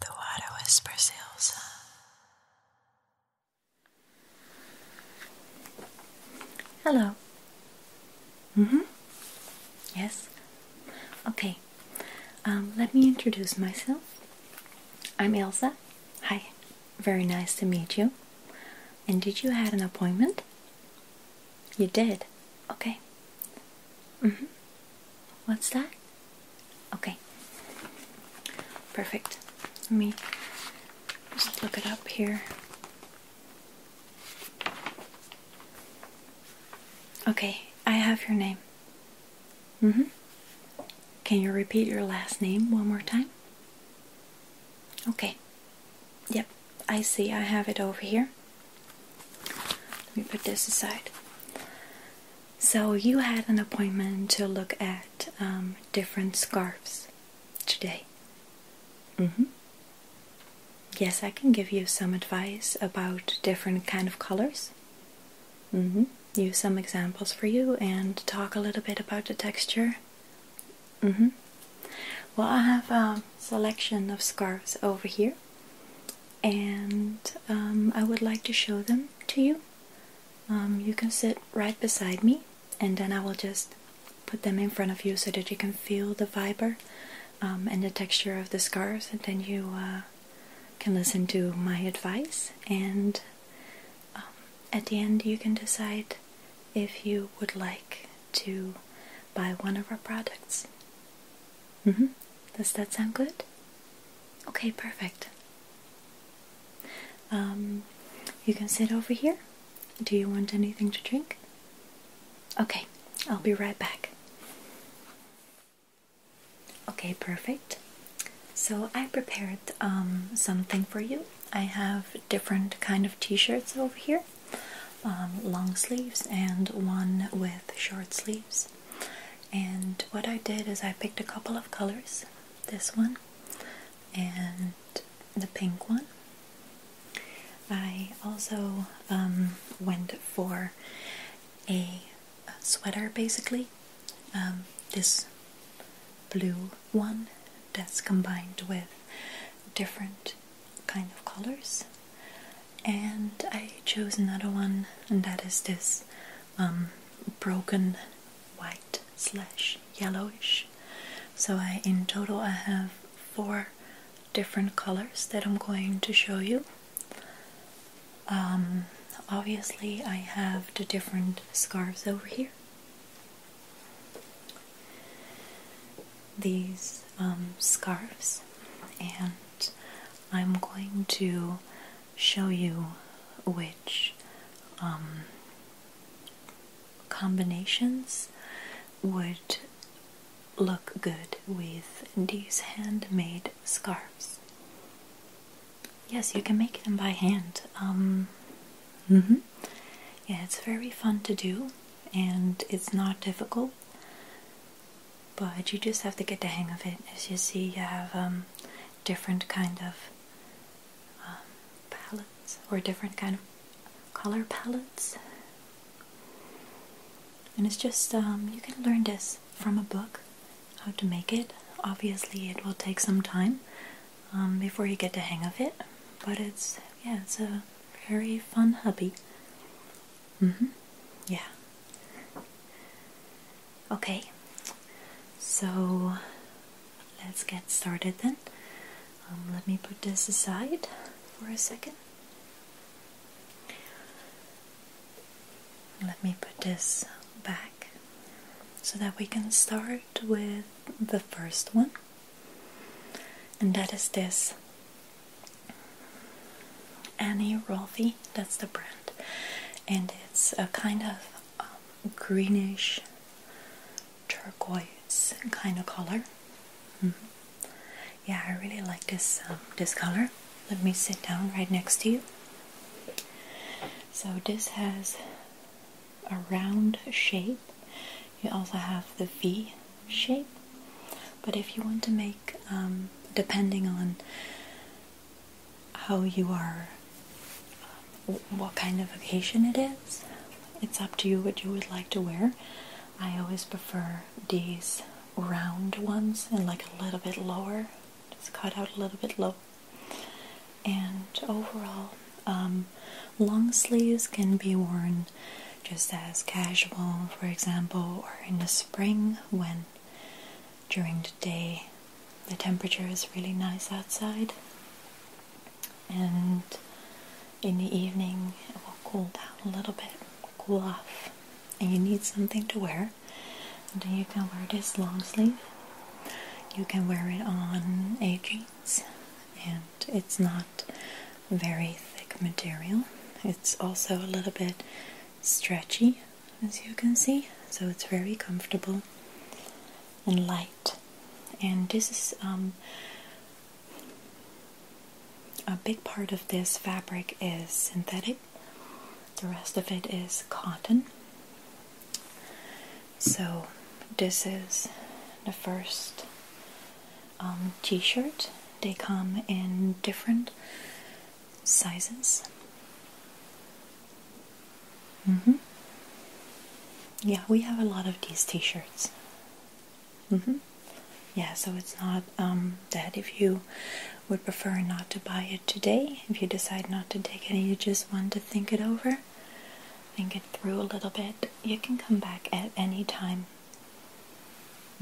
The water whispers, Elsa. Hello. Mm-hmm. Yes. Okay. Um, let me introduce myself. I'm Elsa. Hi. Very nice to meet you. And did you have an appointment? You did. Okay. Mm-hmm. What's that? Okay. Perfect. Let me just look it up here. Okay, I have your name. Mm hmm. Can you repeat your last name one more time? Okay. Yep, I see. I have it over here. Let me put this aside. So, you had an appointment to look at um, different scarves today. hmm. Yes, I can give you some advice about different kind of colors. hmm. Use some examples for you and talk a little bit about the texture. hmm. Well, I have a selection of scarves over here and um, I would like to show them to you. Um, you can sit right beside me and then I will just put them in front of you so that you can feel the fiber um, and the texture of the scars and then you uh, can listen to my advice and at the end you can decide if you would like to buy one of our products. Mm-hmm. Does that sound good? Okay, perfect. Um, you can sit over here. Do you want anything to drink? Okay, I'll be right back. Okay, perfect. So I prepared um, something for you. I have different kind of t-shirts over here. Um, long sleeves and one with short sleeves. And what I did is I picked a couple of colors this one and the pink one. I also um, went for a sweater basically. Um, this blue one that's combined with different kind of colors and I chose another one and that is this um, broken white slash yellowish so I in total I have four different colors that I'm going to show you um, obviously I have the different scarves over here these um, scarves and I'm going to show you which um, combinations would look good with these handmade scarves. Yes, you can make them by hand. -hmm. Yeah, it's very fun to do and it's not difficult but you just have to get the hang of it. As you see, you have um, different kind of um, palettes or different kind of color palettes, and it's just um, you can learn this from a book how to make it. Obviously, it will take some time before you get the hang of it, but it's yeah, it's a very fun hobby. Mm-hmm. Yeah. Okay. So let's get started then. Um, let me put this aside for a second. Let me put this back so that we can start with the first one and that is this Annie Rolfi, that's the brand, and it's a kind of um, greenish turquoise kind of color. Mm-hmm. Yeah, I really like this um, this color. Let me sit down right next to you. So this has a round shape. You also have the V shape. But if you want to make, um, depending on how you are, um, what kind of occasion it is, it's up to you what you would like to wear. I always prefer these round ones and like a little bit lower, just cut out a little bit lower. And overall, um, long sleeves can be worn just as casual, for example, or in the spring when during the day the temperature is really nice outside and in the evening it will cool down a little bit, cool off, and you need something to wear. And then you can wear this long sleeve. You can wear it on a jeans and it's not very thick material. It's also a little bit stretchy, as you can see, so it's very comfortable and light. And this is um, a big part of this fabric is synthetic. The rest of it is cotton. So this is the first um, t-shirt. They come in different sizes. Mm hmm Yeah, we have a lot of these t-shirts. Mm hmm Yeah, so it's not dead. Um, if you would prefer not to buy it today, if you decide not to take it you just want to think it over, think it through a little bit, you can come back at any time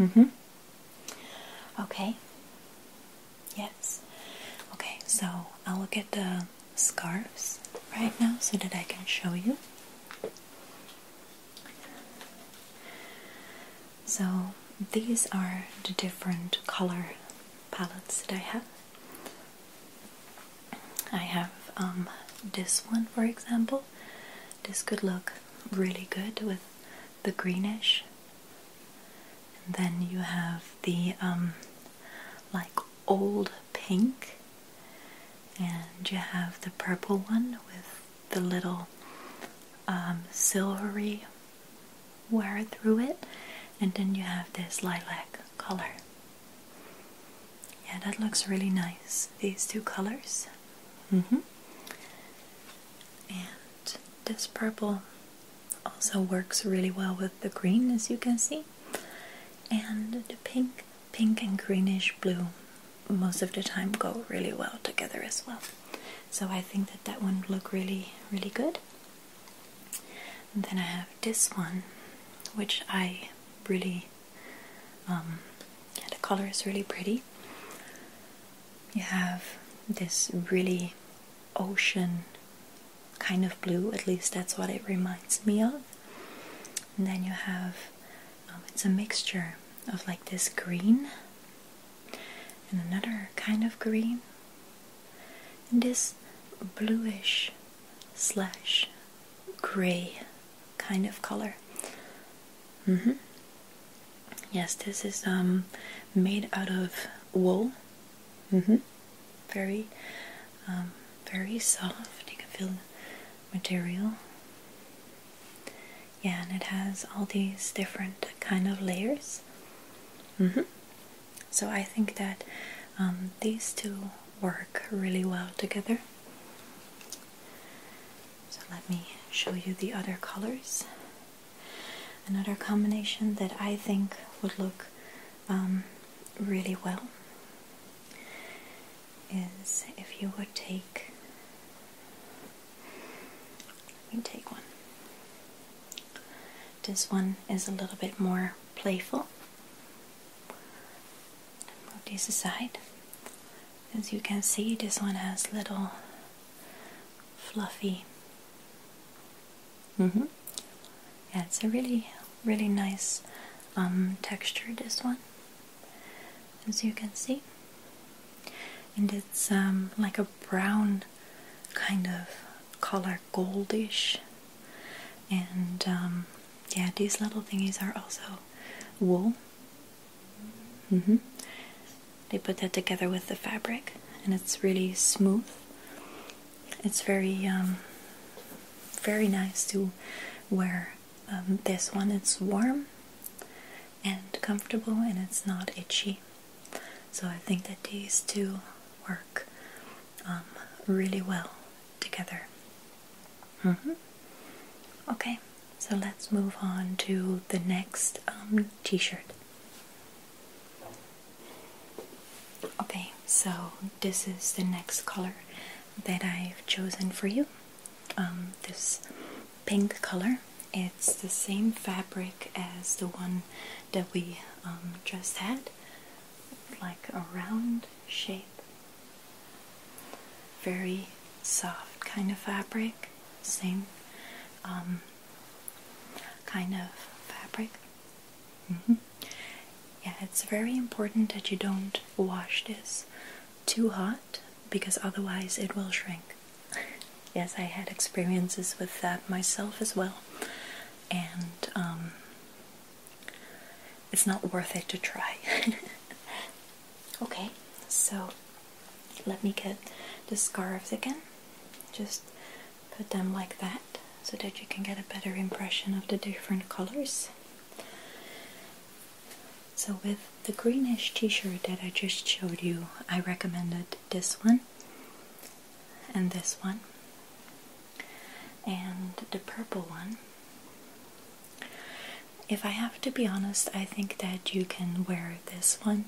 Mm-hmm. Okay. Yes. Okay, so I'll look at the scarves right now so that I can show you. So these are the different color palettes that I have. I have um, this one for example. This could look really good with the greenish. And then you have the um, like old pink, and you have the purple one with the little um, silvery wire through it, and then you have this lilac color. Yeah, that looks really nice. These two colors. Mm -hmm. And this purple also works really well with the green, as you can see. And the pink, pink and greenish blue most of the time go really well together as well. So I think that that one look really, really good. then I have this one, which I really um, the color is really pretty. You have this really ocean kind of blue, at least that's what it reminds me of. then you have um, it's a mixture of like this green and another kind of green, and this bluish slash gray kind of color. -hmm. Yes, this is um, made out of wool. -hmm. Very, um, very soft. You can feel the material. Yeah, and it has all these different kind of layers. -hmm. So I think that um, these two work really well together. So let me show you the other colors. Another combination that I think would look um, really well is if you would take. Let take one. This one is a little bit more playful. Move this aside. As you can see, this one has little fluffy. -hmm. Yeah, it's a really, really nice um, texture. This one, as you can see, and it's um, like a brown kind of color, goldish, and um, yeah, these little thingies are also wool. Mm-hmm. They put that together with the fabric, and it's really smooth. It's very, um, very nice to wear. Um, this one it's warm and comfortable, and it's not itchy. So I think that these two work um, really well together. Mm-hmm. Okay, so let's move on to the next um, t shirt. Okay, so this is the next color that I've chosen for you. Um, this pink color. It's the same fabric as the one that we just had, like a round shape very soft kind of fabric, same um, kind of fabric. Mm-hmm. Yeah, it's very important that you don't wash this too hot because otherwise it will shrink. yes, I had experiences with that myself as well, and um, it's not worth it to try. okay, so let me get the scarves again. Just put them like that so that you can get a better impression of the different colors. So with the greenish t-shirt that I just showed you, I recommended this one and this one and the purple one. If I have to be honest, I think that you can wear this one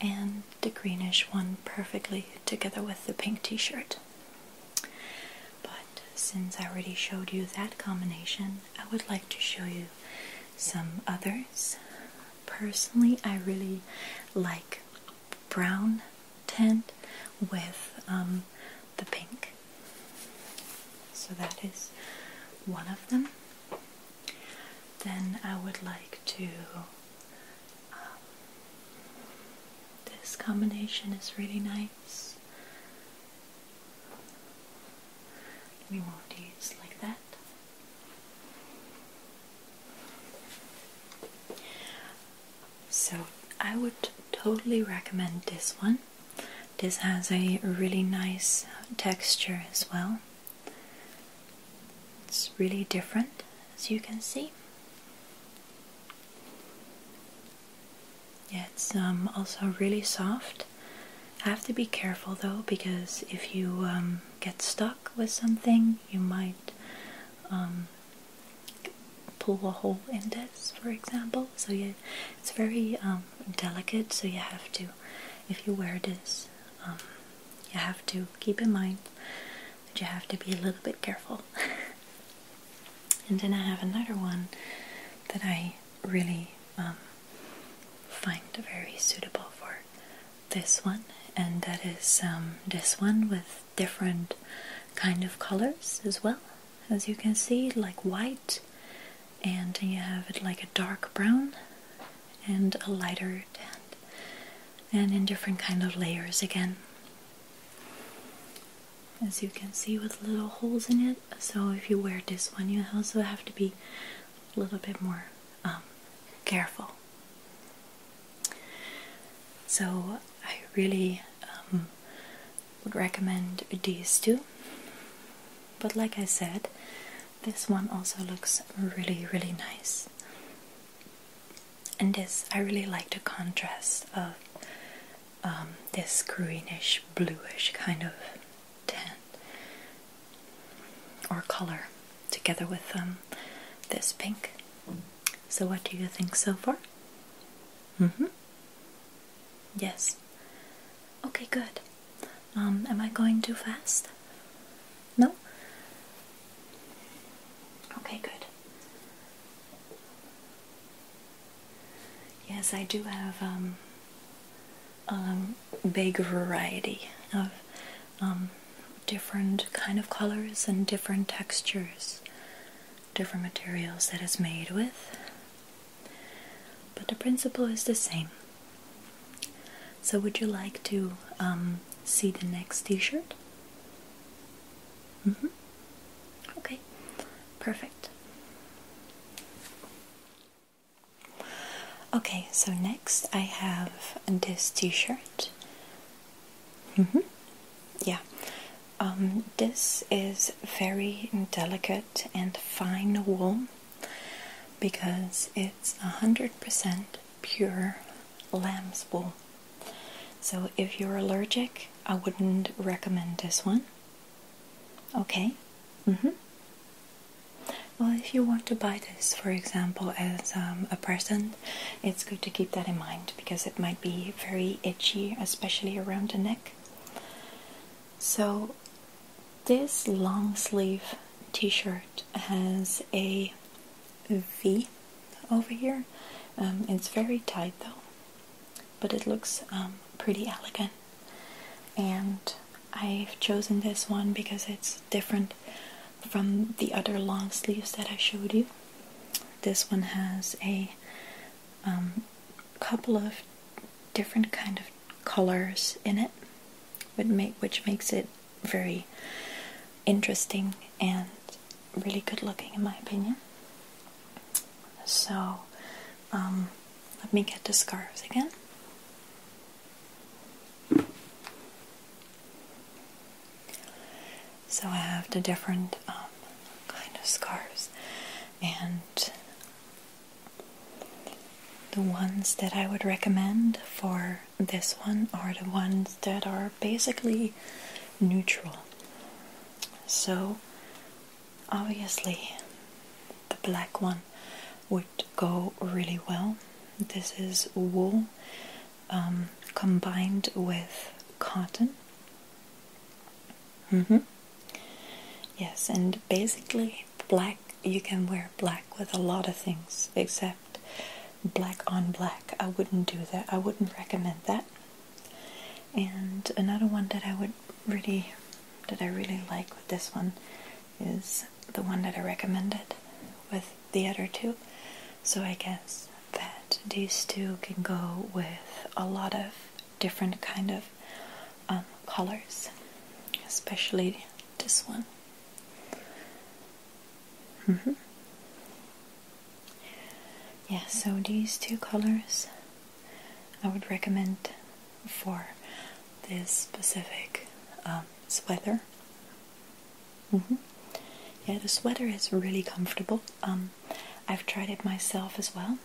and the greenish one perfectly together with the pink t-shirt. But since I already showed you that combination, I would like to show you some others. Personally, I really like brown tint with um, the pink. So that is one of them. Then I would like to. Um, this combination is really nice. Let me move these like that. So I would totally recommend this one. This has a really nice texture as well. It's really different as you can see. it's um, also really soft. I Have to be careful though because if you um, get stuck with something you might um, pull a hole in this, for example. So you, it's very um, delicate. So you have to, if you wear this, um, you have to keep in mind that you have to be a little bit careful. and then I have another one that I really um, find very suitable for this one, and that is this one with different kind of colors as well as you can see like white and you have it like a dark brown and a lighter tan and in different kind of layers again as you can see with little holes in it so if you wear this one you also have to be a little bit more um, careful so I really um, would recommend these two. But like I said, this one also looks really, really nice. And this, I really like the contrast of um, this greenish, bluish kind of tan or color together with um, this pink. So, what do you think so far? Mm hmm. Yes. Okay, good. Um, am I going too fast? No? Okay, good. Yes, I do have um, a big variety of um, different kind of colors and different textures, different materials that it's made with. But the principle is the same. So, would you like to um, see the next t shirt? Mm -hmm. Okay, perfect. Okay, so next I have this t shirt Mm -hmm. Yeah, um, this is very delicate and fine wool because it's a hundred percent pure lamb's wool. So, if you're allergic, I wouldn't recommend this one. Okay. Mm -hmm. Well, if you want to buy this, for example, as um, a present it's good to keep that in mind because it might be very itchy, especially around the neck. So, this long sleeve t shirt has a V over here. Um, it's very tight though, but it looks um, pretty elegant. And I've chosen this one because it's different from the other long sleeves that I showed you. This one has a um, couple of different kind of colors in it, which makes it very interesting and really good looking in my opinion. So um, let me get the scarves again. So I have the different um, kind of scarves, and the ones that I would recommend for this one are the ones that are basically neutral. So obviously the black one would go really well. This is wool um, combined with cotton. Mm-hmm. Yes, and basically, black you can wear black with a lot of things except black on black. I wouldn't do that, I wouldn't recommend that. And another one that I would really that I really like with this one is the one that I recommended with the other two. So I guess that these two can go with a lot of different kind of um, colors, especially this one. Mm-hmm. Yeah, so these two colors I would recommend for this specific um, sweater. Mm-hmm. Yeah, the sweater is really comfortable. Um, I've tried it myself as well,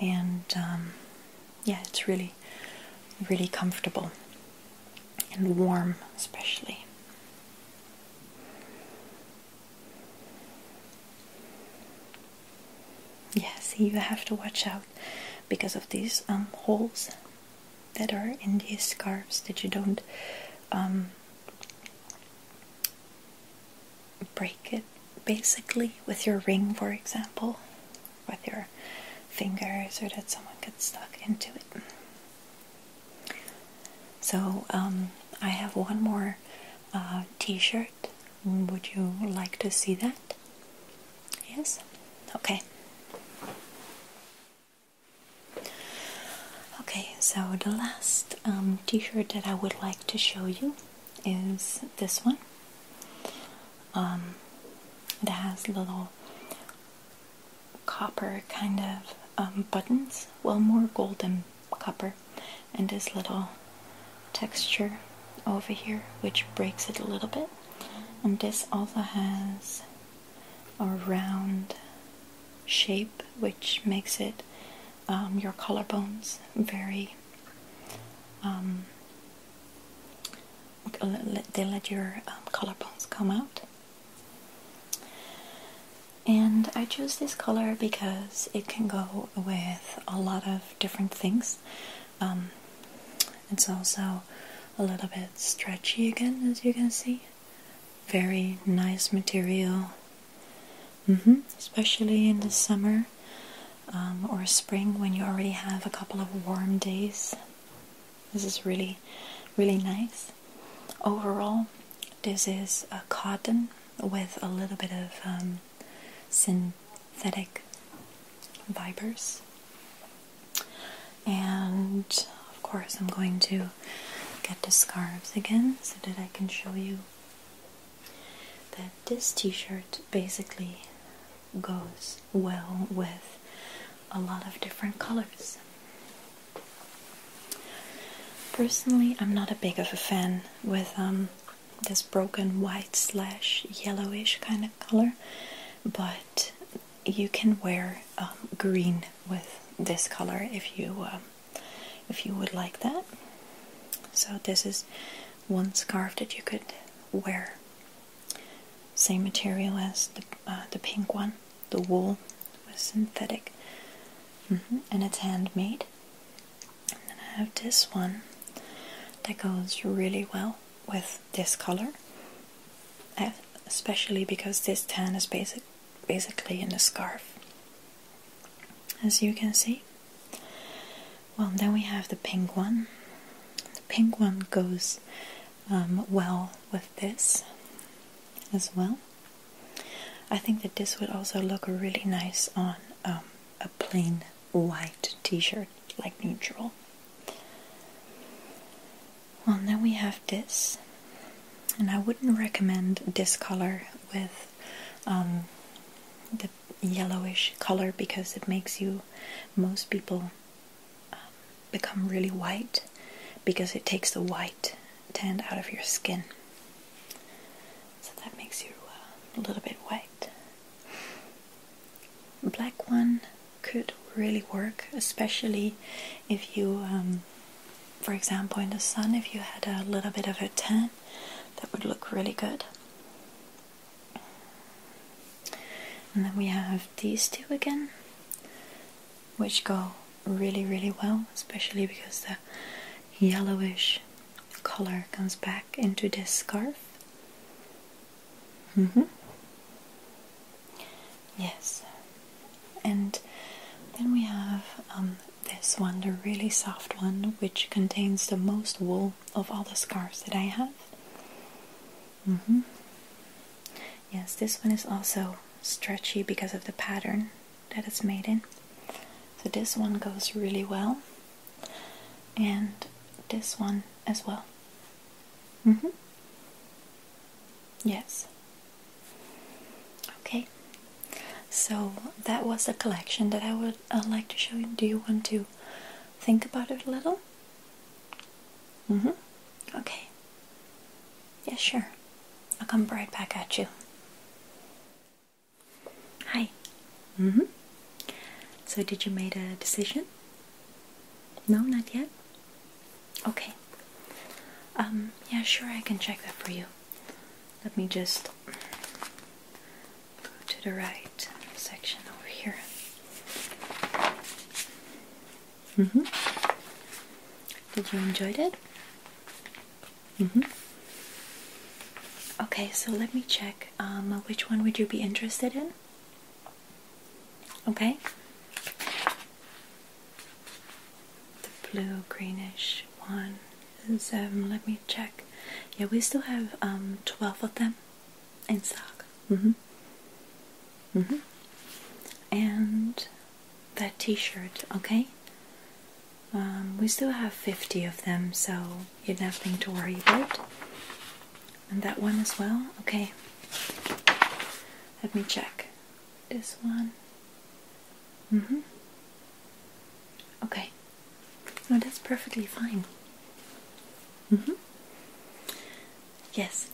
and um, yeah, it's really, really comfortable and warm, especially. Yeah, see, you have to watch out because of these um, holes that are in these scarves that you don't um, break it basically with your ring, for example, with your fingers, or that someone gets stuck into it. So, um, I have one more uh, t shirt. Would you like to see that? Yes? Okay. Okay, so the last um, t shirt that I would like to show you is this one It um, has little copper kind of um, buttons, well, more golden copper, and this little texture over here which breaks it a little bit. And this also has or round shape, which makes it um, your collarbones very. Um, they let your um, collarbones come out. And I chose this color because it can go with a lot of different things. Um, it's also a little bit stretchy again, as you can see. Very nice material, mm-hmm. especially in the summer um, or spring when you already have a couple of warm days. This is really, really nice. Overall, this is a cotton with a little bit of um, synthetic fibers. And of course, I'm going to get the scarves again so that I can show you that this t shirt basically goes well with a lot of different colors. Personally, I'm not a big of a fan with um, this broken white slash yellowish kind of color, but you can wear um, green with this color if you um, if you would like that. So this is one scarf that you could wear. Same material as the uh, the pink one. The wool was synthetic, mm-hmm, and it's handmade. And then I have this one that goes really well with this color, eh, especially because this tan is basically in the scarf, as you can see. Well, then we have the pink one. The pink one goes um, well with this as well. I think that this would also look really nice on um, a plain white t-shirt, like neutral well, then we have this, and I wouldn't recommend this color with um, the yellowish color because it makes you, most people, um, become really white because it takes the white tanned out of your skin. So that makes you uh, a little bit white black one could really work, especially if you, um, for example, in the sun, if you had a little bit of a tan, that would look really good. And then we have these two again, which go really, really well, especially because the yellowish color comes back into this scarf. -hmm. Yes, and then we have um, this one, the really soft one, which contains the most wool of all the scarves that I have. -hmm. Yes, this one is also stretchy because of the pattern that it's made in. So this one goes really well, and this one as well. Mm hmm. Yes. Okay. So that was a collection that I would uh, like to show you. Do you want to think about it a little? Mm hmm. Okay. Yes, sure. I'll come right back at you. Hi. Mm hmm. So, did you make a decision? No, not yet? Okay. Um, yeah, sure, I can check that for you. Let me just go to the right section over here. hmm. Did you enjoy it? hmm. Okay, so let me check. Um, which one would you be interested in? Okay? The blue greenish one let me check. Yeah, we still have um, 12 of them in stock. hmm. hmm. And that t shirt, okay? Um, we still have 50 of them, so you have nothing to worry about. And that one as well? Okay. Let me check. This one. Mm-hmm. Okay. No, that's perfectly fine. Mm-hmm. Yes.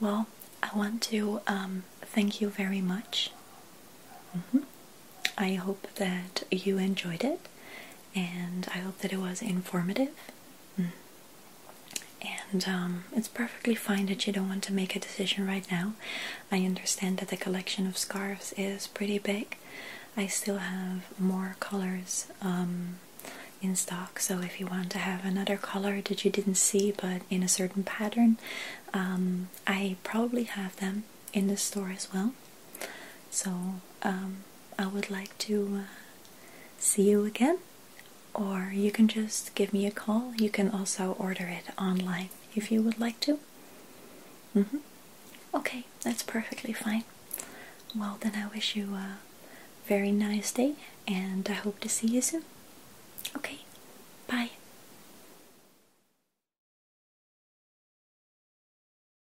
Well, I want to um, thank you very much. -hmm. I hope that you enjoyed it and I hope that it was informative. Mm. And um, it's perfectly fine that you don't want to make a decision right now. I understand that the collection of scarves is pretty big. I still have more colors um, in stock, so if you want to have another color that you didn't see but in a certain pattern, um, I probably have them in the store as well. So I would like to uh, see you again, or you can just give me a call. You can also order it online if you would like to. Mm-hmm. Okay, that's perfectly fine. Well, then I wish you a very nice day and I hope to see you soon. Okay, bye.